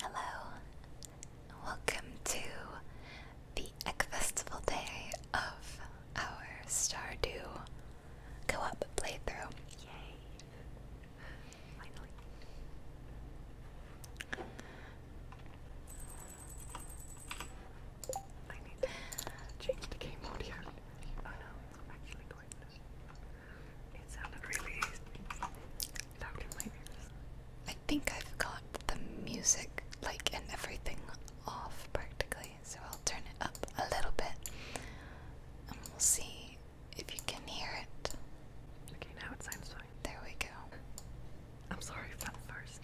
Hello, welcome to the Egg Festival day of our Stardew Go Up playthrough. Yay! Finally. I need change the game audio. Oh no, I think I've got the music, like, and everything off practically, so I'll turn it up a little bit and we'll see if you can hear it. Okay, now it sounds fine. There we go. I'm sorry if that first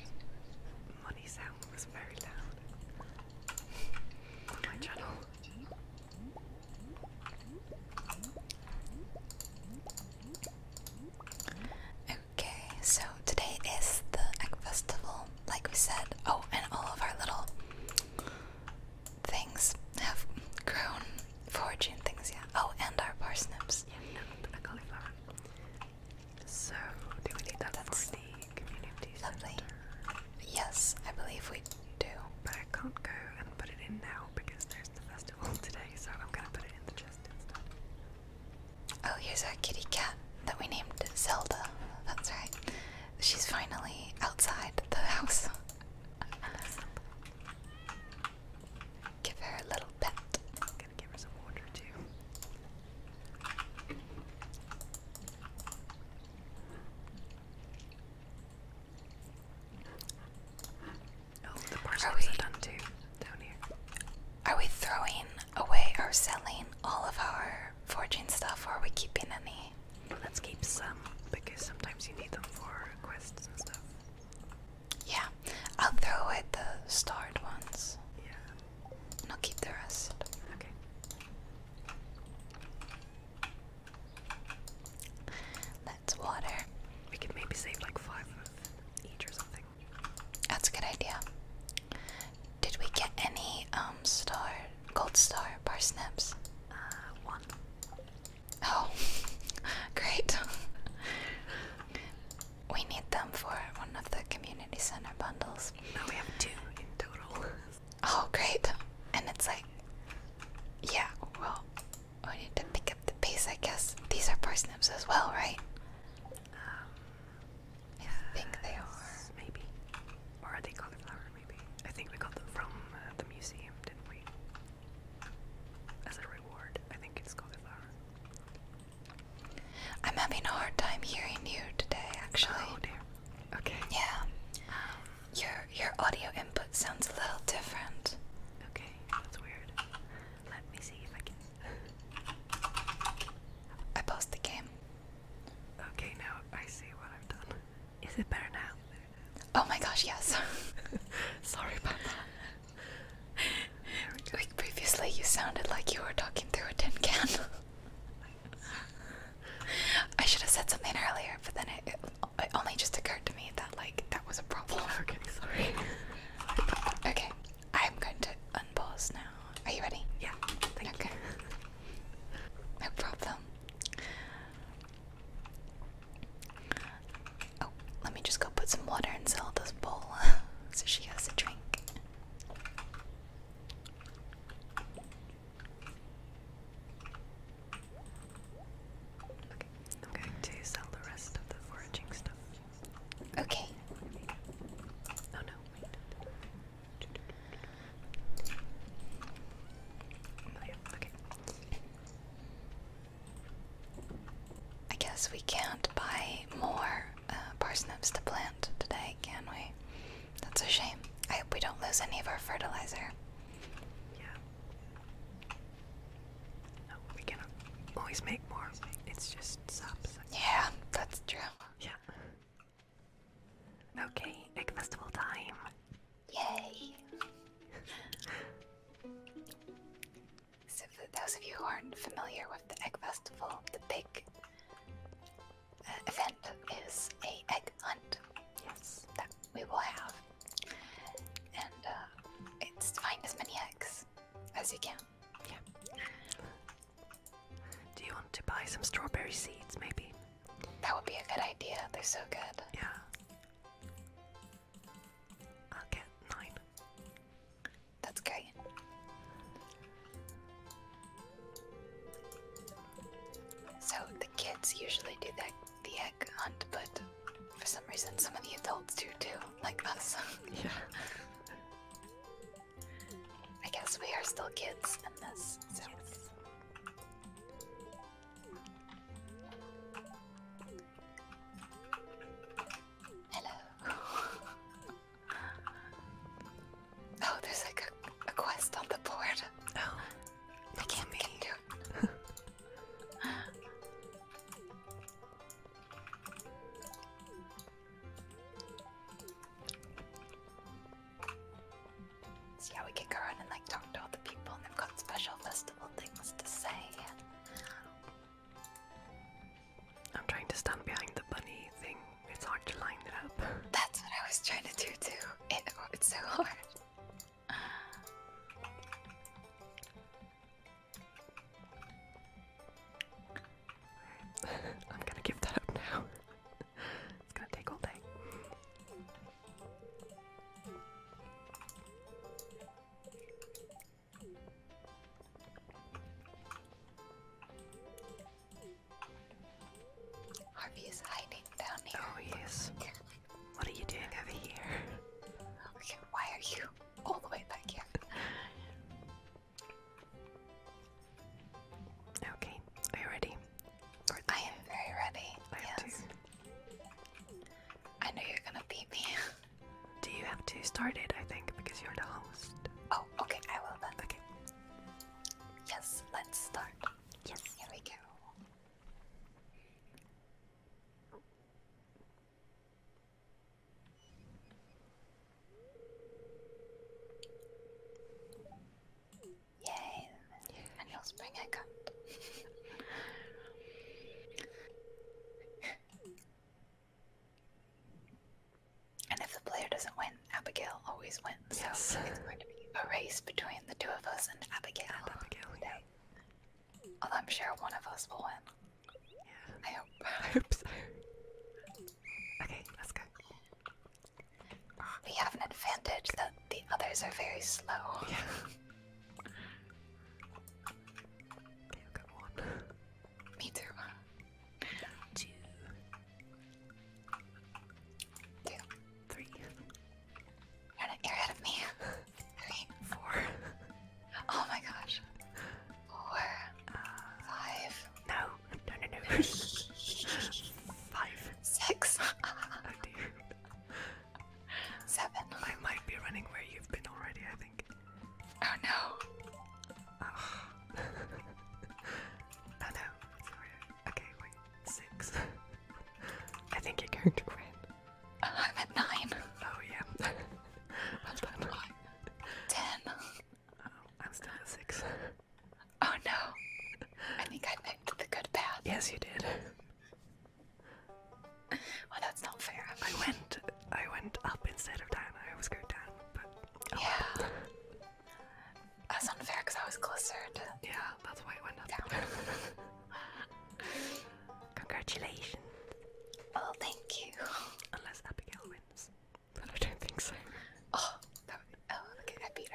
money sound was very loud my channel. Okay, so today is the egg festival, like we said. Oh, and all of our little things have grown. Foraging things, yeah. Oh, and our parsnips. So, do we need that That's the community center? Yes, I believe we do. I can't go and put it in now because there's the festival today, so I'm gonna put it in the chest instead. Oh, here's our kitty cat that we named Zelda. That's right. She's finally outside the house. give her a little pet. I'm gonna give her some water too. Oh, are, are done too down here. Are we throwing away or selling all of our forging stuff, or are we keeping any? Let's keep some because sometimes you need them for quests and stuff. Yeah, I'll throw away the starred ones. Yeah, and I'll keep the rest. Okay. That's water. We could maybe save like five of each or something. That's a good idea. Did we get any um star gold star parsnips? Uh, one. Oh great. we need them for one of the community center bundles. Now we have two in total. oh great. And it's like yeah, well we need to pick up the pace, I guess. These are parsnips as well, right? Um, I think they are. Maybe. Or are they cauliflower, maybe? I think we got them from uh, the museum, didn't we? As a reward, I think it's cauliflower. I'm having a hard time hearing you today, actually. Oh dear. Okay. Yeah. Um, your your audio input sounds a little different. Okay that's weird. Let me see if I can. I paused the game. Okay, now I see what I've done. Is it better now? Oh my gosh, yes. Sorry about that. Like previously, you sounded like you were talking through a tin can. I should have said something earlier, but then it, it it only just occurred to me that like that was a problem. Okay, sorry. okay, I'm going to unpause now. Are you ready? Yeah. okay. no problem. Oh, let me just go put some water in Zelda's bowl so she has a drink. Okay. I'm going to sell the rest of the foraging stuff. Okay. Oh no, wait. Oh, okay. I guess we can't buy more uh, parsnips to plant today, can we? That's a shame. I hope we don't lose any of our fertilizer. Yeah. Oh, we can always make more. It's just subs. Yeah, that's true. Yeah. Okay, egg festival time. Yay! so, for those of you who aren't familiar with the egg festival, the big uh, event is a egg hunt. Yes, that we will have and uh, it's find as many eggs as you can. Yeah. Do you want to buy some strawberry seeds, maybe? That would be a good idea. They're so good. Yeah. I'll get nine. That's great. So the kids usually do that the egg hunt, but for some reason, some of the adults do too, like us. yeah. I guess we are still kids in this. So. Hello. oh, there's like a, a quest on the board. Oh, I can't make it. So yeah, we can go around and like talk to all the people and they've got special festival things to say. I'm trying to stand behind the bunny thing. It's hard to line it up. That's what I was trying to do too. it's so hard. I'm gonna give that up now. it's gonna take all day. Harvey is hiding down here. Oh yes. What are you doing over here? Okay, why are you all the way back here. Okay, are you ready? I am very ready. I yes. I know you're gonna beat me. Do you have to start it? I think because you're the host. Oh, okay. I will then. Okay. Yes, let's start. Yes. Here we go. Yay! I know spring I got. and if the player doesn't win, Abigail always wins. Yes. So it's going to be a race between the two of us and Abigail. And Abigail. I'm sure one of us will win. Yeah. I hope. I hope so. Okay, let's go. We have an advantage that the others are very slow. Yeah. okay, i one. Me too. Two. Two. Three. You're, not, you of me. Four. Oh my gosh. Four. five. No, no, no, no. five. Six. oh dear. Seven. I might be running where you've been already, I think. Oh no. Oh, no. Okay, wait. Six. I think you're going to win. I'm at nine. Oh yeah. Ten. Oh, I'm still at six. Oh no. I think I picked the good path. Yes, you did. Well, that's not fair. I went, I went up instead of down. I always go down, but yeah. That's unfair because I was closer to. Yeah, that's why I went up. Congratulations. Oh, thank you. Unless Abigail wins, but I don't think so. Oh, that would, oh look at that Peter!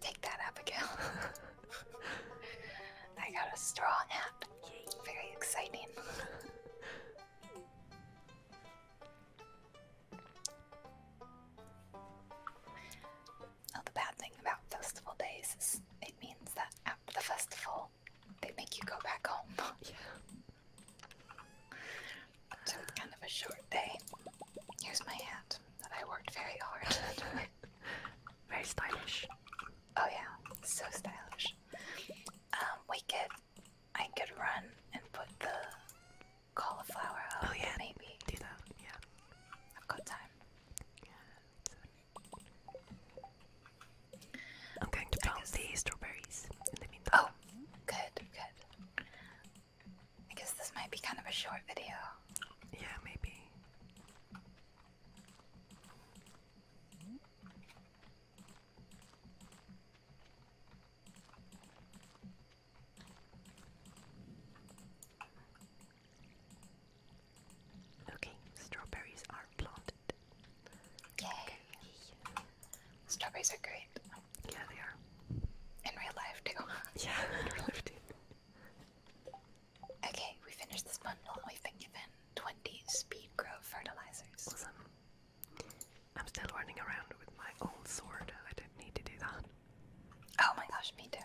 Take that, Abigail. I got a straw nap. Very exciting. Well, the bad thing about festival days is it means that after the festival, they make you go back home. yeah. it's kind of a short day. Here's my hat that I worked very hard very stylish. Oh yeah, so stylish. Um, we could, I could run and put the cauliflower Oh yeah, maybe. Do that. Yeah. I've got time. I'm going to plant these strawberries Oh, good, good. I guess this might be kind of a short video. Yeah, maybe. Okay, strawberries are planted. Yay! Strawberries are great. Yeah, they are. In real life too. yeah, in real life too. Okay, we finished this bundle. We've been given 20 speed grow fertilizers. Awesome. I'm still running around with my old sword. I didn't need to do that. Oh my gosh, me too.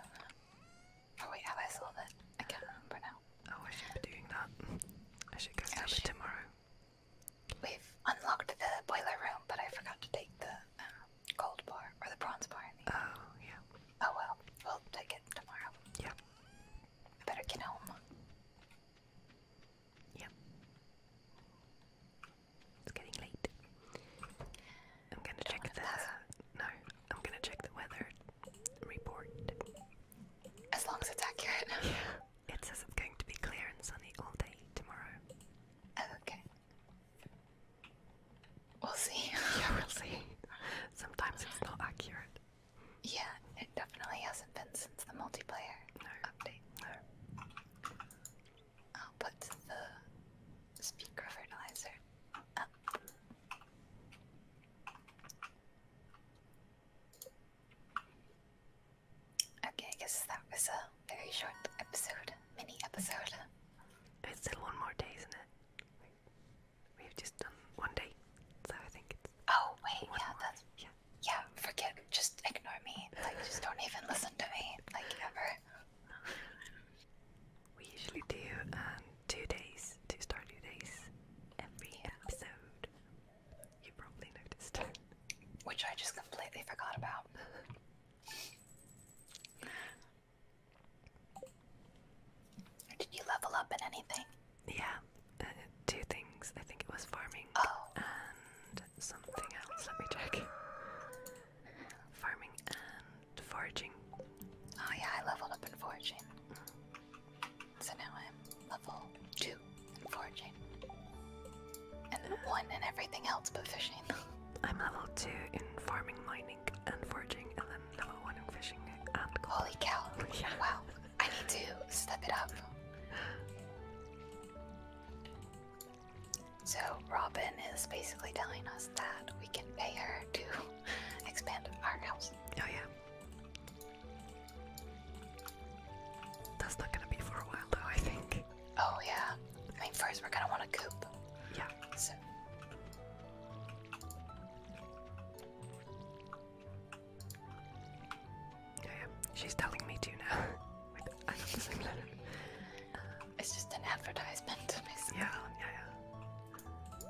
Oh wait, have I sold it? I can't remember now. Oh, I should be doing that. I should go grab tomorrow. We've unlocked the boiler room, but I forgot to take the gold um, bar or the bronze bar. oh, yeah. Oh well, we'll take it tomorrow. Yeah. better get home. Yep. It's getting late. I'm gonna check the no. I'm gonna check the weather report. As long as it's accurate. yeah. It says it's going to be clear and sunny all day tomorrow. Okay. We'll see. yeah, we'll see. Sometimes it's not accurate. Yeah, it definitely hasn't been since the multiplayer update. I'll put the speaker fertilizer Okay, guess that was a very short episode, mini episode. It's still one more day, isn't it? We've just done one day, so I think it's. Oh wait, yeah, that's yeah. Yeah, forget. Just ignore me. Like, just don't even listen to me. Like ever. We usually do um, two days, two Stardew days every episode. You probably noticed. Which I just completely forgot about. Did you level up in anything? Yeah, uh, two things. I think it was farming oh. and something else. Let me check. Farming and foraging. Oh yeah, I leveled up in foraging. Mm. So now I'm level two in foraging. And one in everything else but fishing. I'm level two in farming, mining, and foraging, and then level one in fishing and Holy cow. Yeah. I need to step it up. So Robin is basically telling us that we can pay her to expand our house. Oh yeah. That's not gonna be for a while though, I think. Oh yeah. I mean first we're gonna wanna coop. Yeah. So yeah, She's telling me to now. Uh, it's just an advertisement, Yeah, yeah, yeah.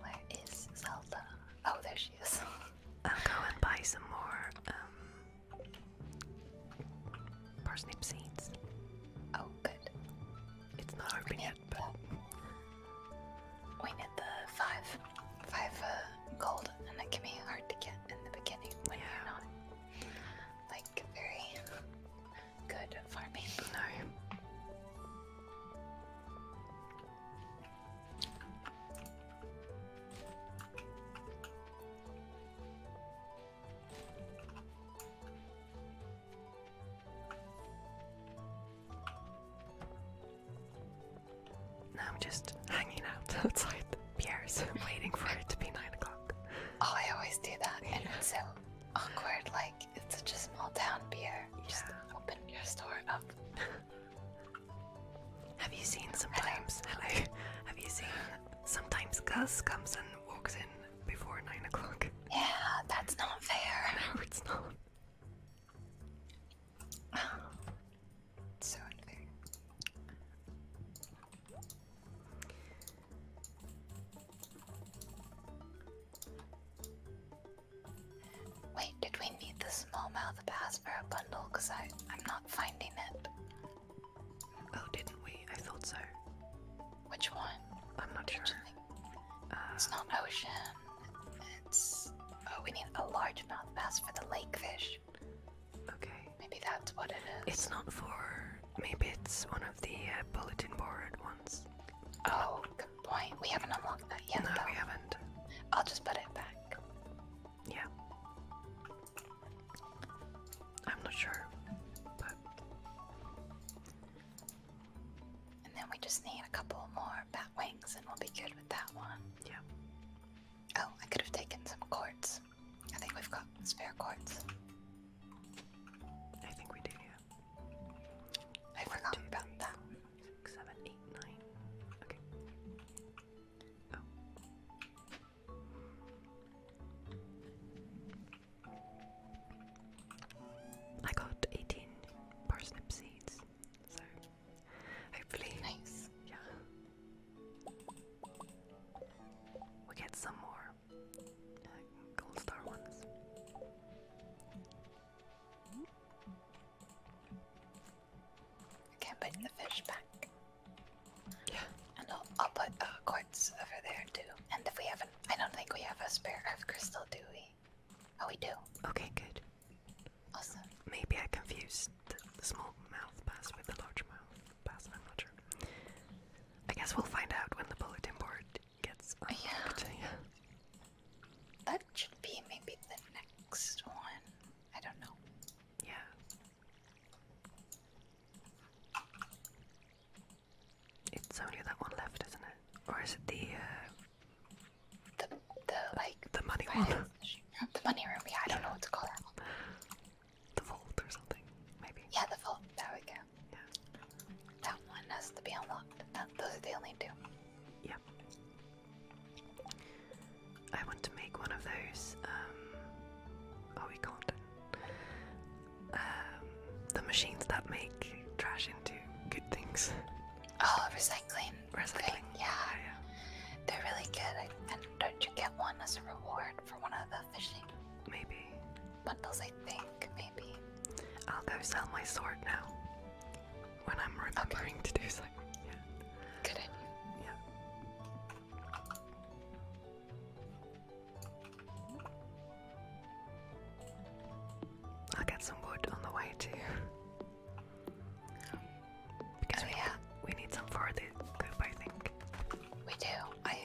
Where is Zelda? Oh, there she is. I'll go and buy some more um, parsnip seeds. Oh, good. It's not open yet, but we need the five, five uh, gold, and that can be hard to get in the beginning yeah. like very good farming. No. Now I'm just hanging out outside Pierre's, waiting for it to be nine o'clock. Oh, I always do that, and it's so awkward. Like it's such a small town, beer. You Just open your store up. have you seen sometimes? Hello. Have you seen sometimes Gus comes and walks in before nine o'clock? Yeah, that's not fair. No, it's not. it's so unfair. Wait, did we need the small mouth bass for a bundle? Because I'm not finding it. Oh, didn't we? I thought so. Which one? I'm not sure. it's not ocean. It's. Oh, we need a large bass for the lake fish. Okay. Maybe that's what it is. It's not for. Maybe it's one of the uh, bulletin board ones. Oh, point. We haven't unlocked that yet. No, we haven't. I'll just put it back. Yeah. I'm not sure, but. And then we just need a couple more bat wings, and we'll be good with that one. Yeah. Oh, I could have taken some cords. I think we've got spare cords. I think we do, I forgot about that. Four, six, seven, eight, nine. Okay. Oh. I got 18 parsnip seeds, so hopefully, yeah, we get some more gold star ones. You can put the fish back. Yeah. And I'll, put uh, quartz over there too. And we haven't, don't think we have a spare earth crystal, do we? Oh, we do. Okay, good. Awesome. Maybe I confused the small mouth bass with the large mouth bass, I'm not sure. I guess we'll find out when the bulletin board yeah. That should be maybe the next one. I don't know. Yeah. It's only that one left, isn't it? Or is it the uh, the the like the money one? The money room. Yeah, I don't know what to call that. One. The vault or something, maybe. Yeah, the vault. There we go. Yeah. That one has to be unlocked. those are the only two. Yep. I want to make one of those. oh, we can't. Um, the machines that make trash into good things. Oh, recycling. Recycling. Yeah. They're really good. and don't you get one as a reward for one of the fishing? Maybe bundles, I think, maybe. I'll go sell my sword now. When I'm remembering to do something. Yeah. Good idea. Yeah. I'll get some wood on the way too. Because oh, we, yeah. we need some for the goop, I think. We do. I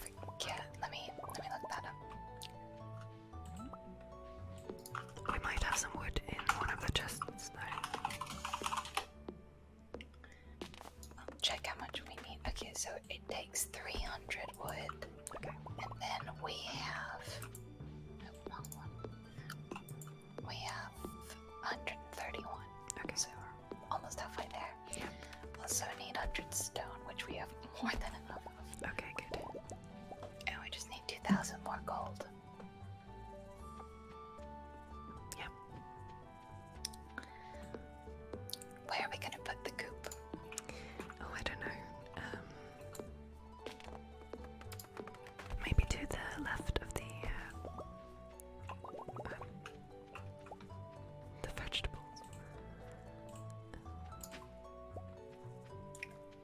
forget. Let me let me look that up. We might have some wood in one of the chests um, check how much we need. Okay, so it takes 300 wood. And then we have. We have 131. Okay. So we're almost halfway there. Yeah. Also need 100 stone, which we have more than enough Okay, good. And oh, we just need 2,000 more gold. Yep. Where are we gonna put the coop? Oh, I don't know. Um, maybe to the left of the uh, um, the vegetables.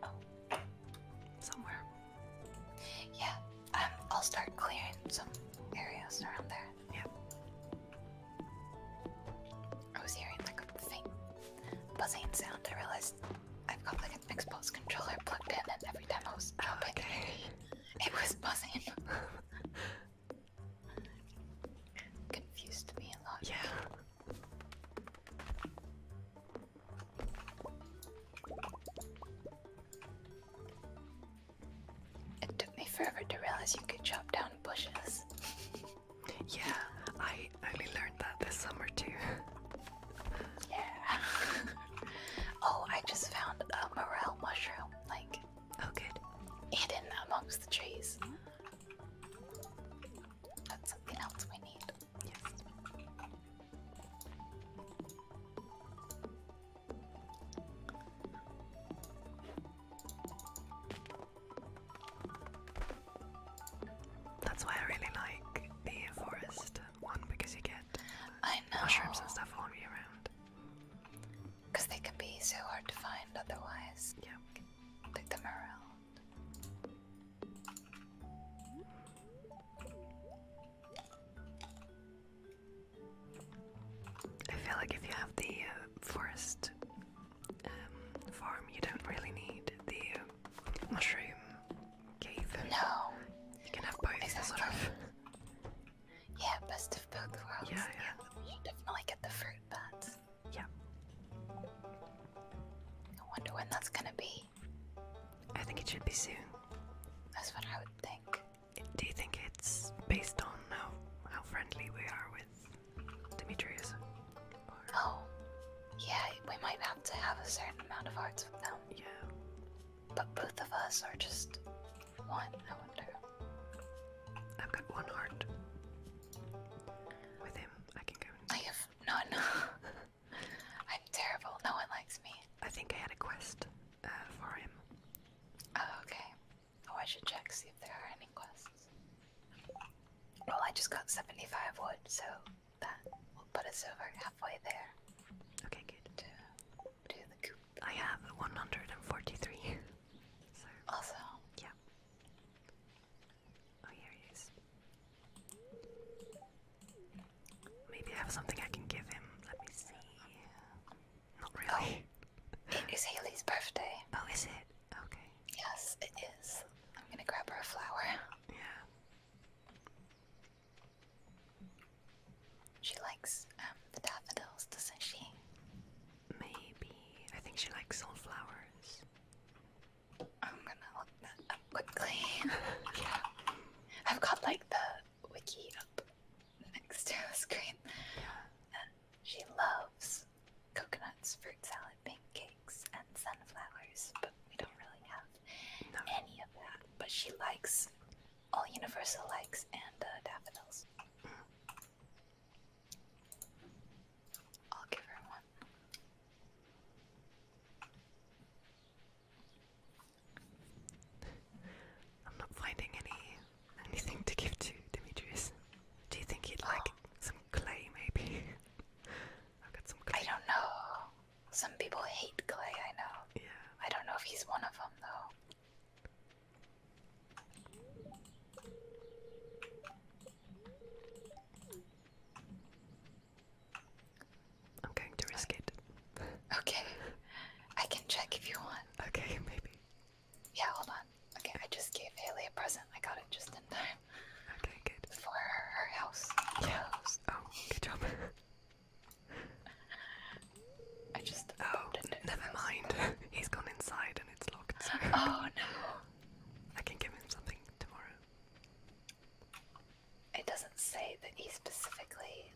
Oh, somewhere. Yeah. Um, I'll start clearing some areas around there. Yeah. I was hearing like a faint buzzing sound. I realized I've got like an Xbox controller plugged in, and every time I was oh, it, it was buzzing. Confused me a lot. Yeah. It took me forever to realize you could chop down bushes. yeah, I only learned that this summer too. yeah. oh, I just found a morel mushroom, like. Oh, good. Hidden amongst the trees. Ah. That's something else we need. Yes. That's why I really like the forest one because you get I know. mushrooms and stuff all year round. Because they can be so hard to find otherwise. Yeah. Like the morel. I feel like if you have the uh, forest um, farm, you don't really need the uh, mushroom cave. No. You can have both, exactly. sort of. Yeah, best of both worlds. Yeah, yeah. yeah. You definitely get the fruit, but yeah. I wonder when that's gonna be. I think it should be soon. That's what I would think. Do you think it's based on how, how friendly we are with Dimitrius? Oh, yeah, we might have to have a certain amount of hearts with them. Yeah. But both of us are just one, I wonder. I've got one heart. With him, I can go and I have None. I'm terrible. No one likes me. I think I had a quest uh, for him. Oh, okay. Oh, I should check, see if there are any quests. Well, I just got 75 wood, so that will put us over halfway there. Okay, good. To do the coop. I have 143. so. Yeah. Oh, here he is. Maybe I have something I can give him. Let me see. Not really. Oh. it is Haley's birthday. Oh, is it? Okay. Yes, it is. I'm gonna grab her a flower. Yeah. She likes um, the daffodils, doesn't she? Maybe. I think she likes sunflowers. I'm gonna look that up quickly. yeah. I've got like the wiki up next to the screen. And she loves coconuts, fruit salad, pancakes, and sunflowers, but we don't really have any of that. But she likes all universal likes and uh, daffodils. Mm. I'll give her one. I'm not finding any anything to give to Demetrius. Do you think he'd like some clay, maybe? I've got some I don't know. Some people hate clay, I know. Yeah. I don't know if he's one of them, though. I'm going to risk it. Okay. I can check if you want. Okay, maybe. Yeah, hold on. Okay, I just gave Haley a present. I got it just in time. Okay, good. For her house. Yeah. Clothes. Oh, good job. I just. Oh, never mind. He's gone inside and it's locked. So. Oh no. I can give him something tomorrow. It doesn't say that he specifically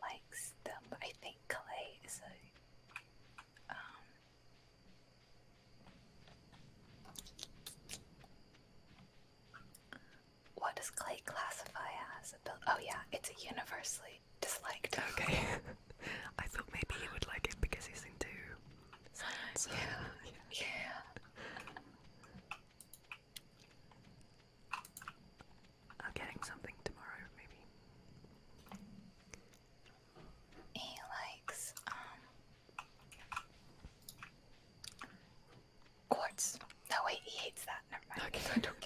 likes them, but I think Clay is a um, what does Clay classify as? oh yeah, it's a universally disliked. Okay. I thought maybe he would like it because he's into science. I'm getting something tomorrow, maybe. He likes um, quartz. No wait, he hates that. Never mind.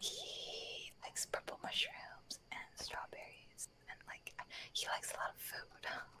He likes purple mushrooms and strawberries and like he likes a lot of food.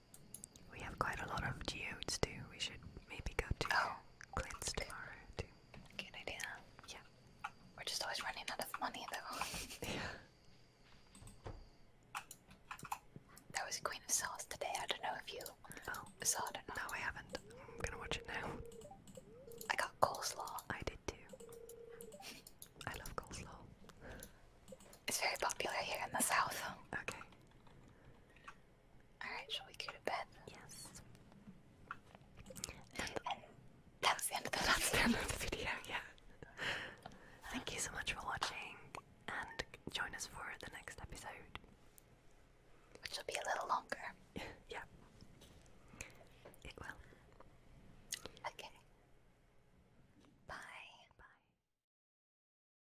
We have quite a lot of geodes too. We should maybe go to oh, Clint's tomorrow too. Good idea. Yeah. We're just always running out of money though. yeah. That was Queen of Sauce today. I don't know if you oh. saw it or not. No, I haven't. I'm gonna watch it now. I got coleslaw. I did too. I love coleslaw. It's very popular here in the south. Okay. Alright, shall we go to bed? Yes. that's the, end of the video, yeah. Thank you so much for watching and join us for the next episode. Which will be a little longer. yeah. It will. Okay. Bye. Bye.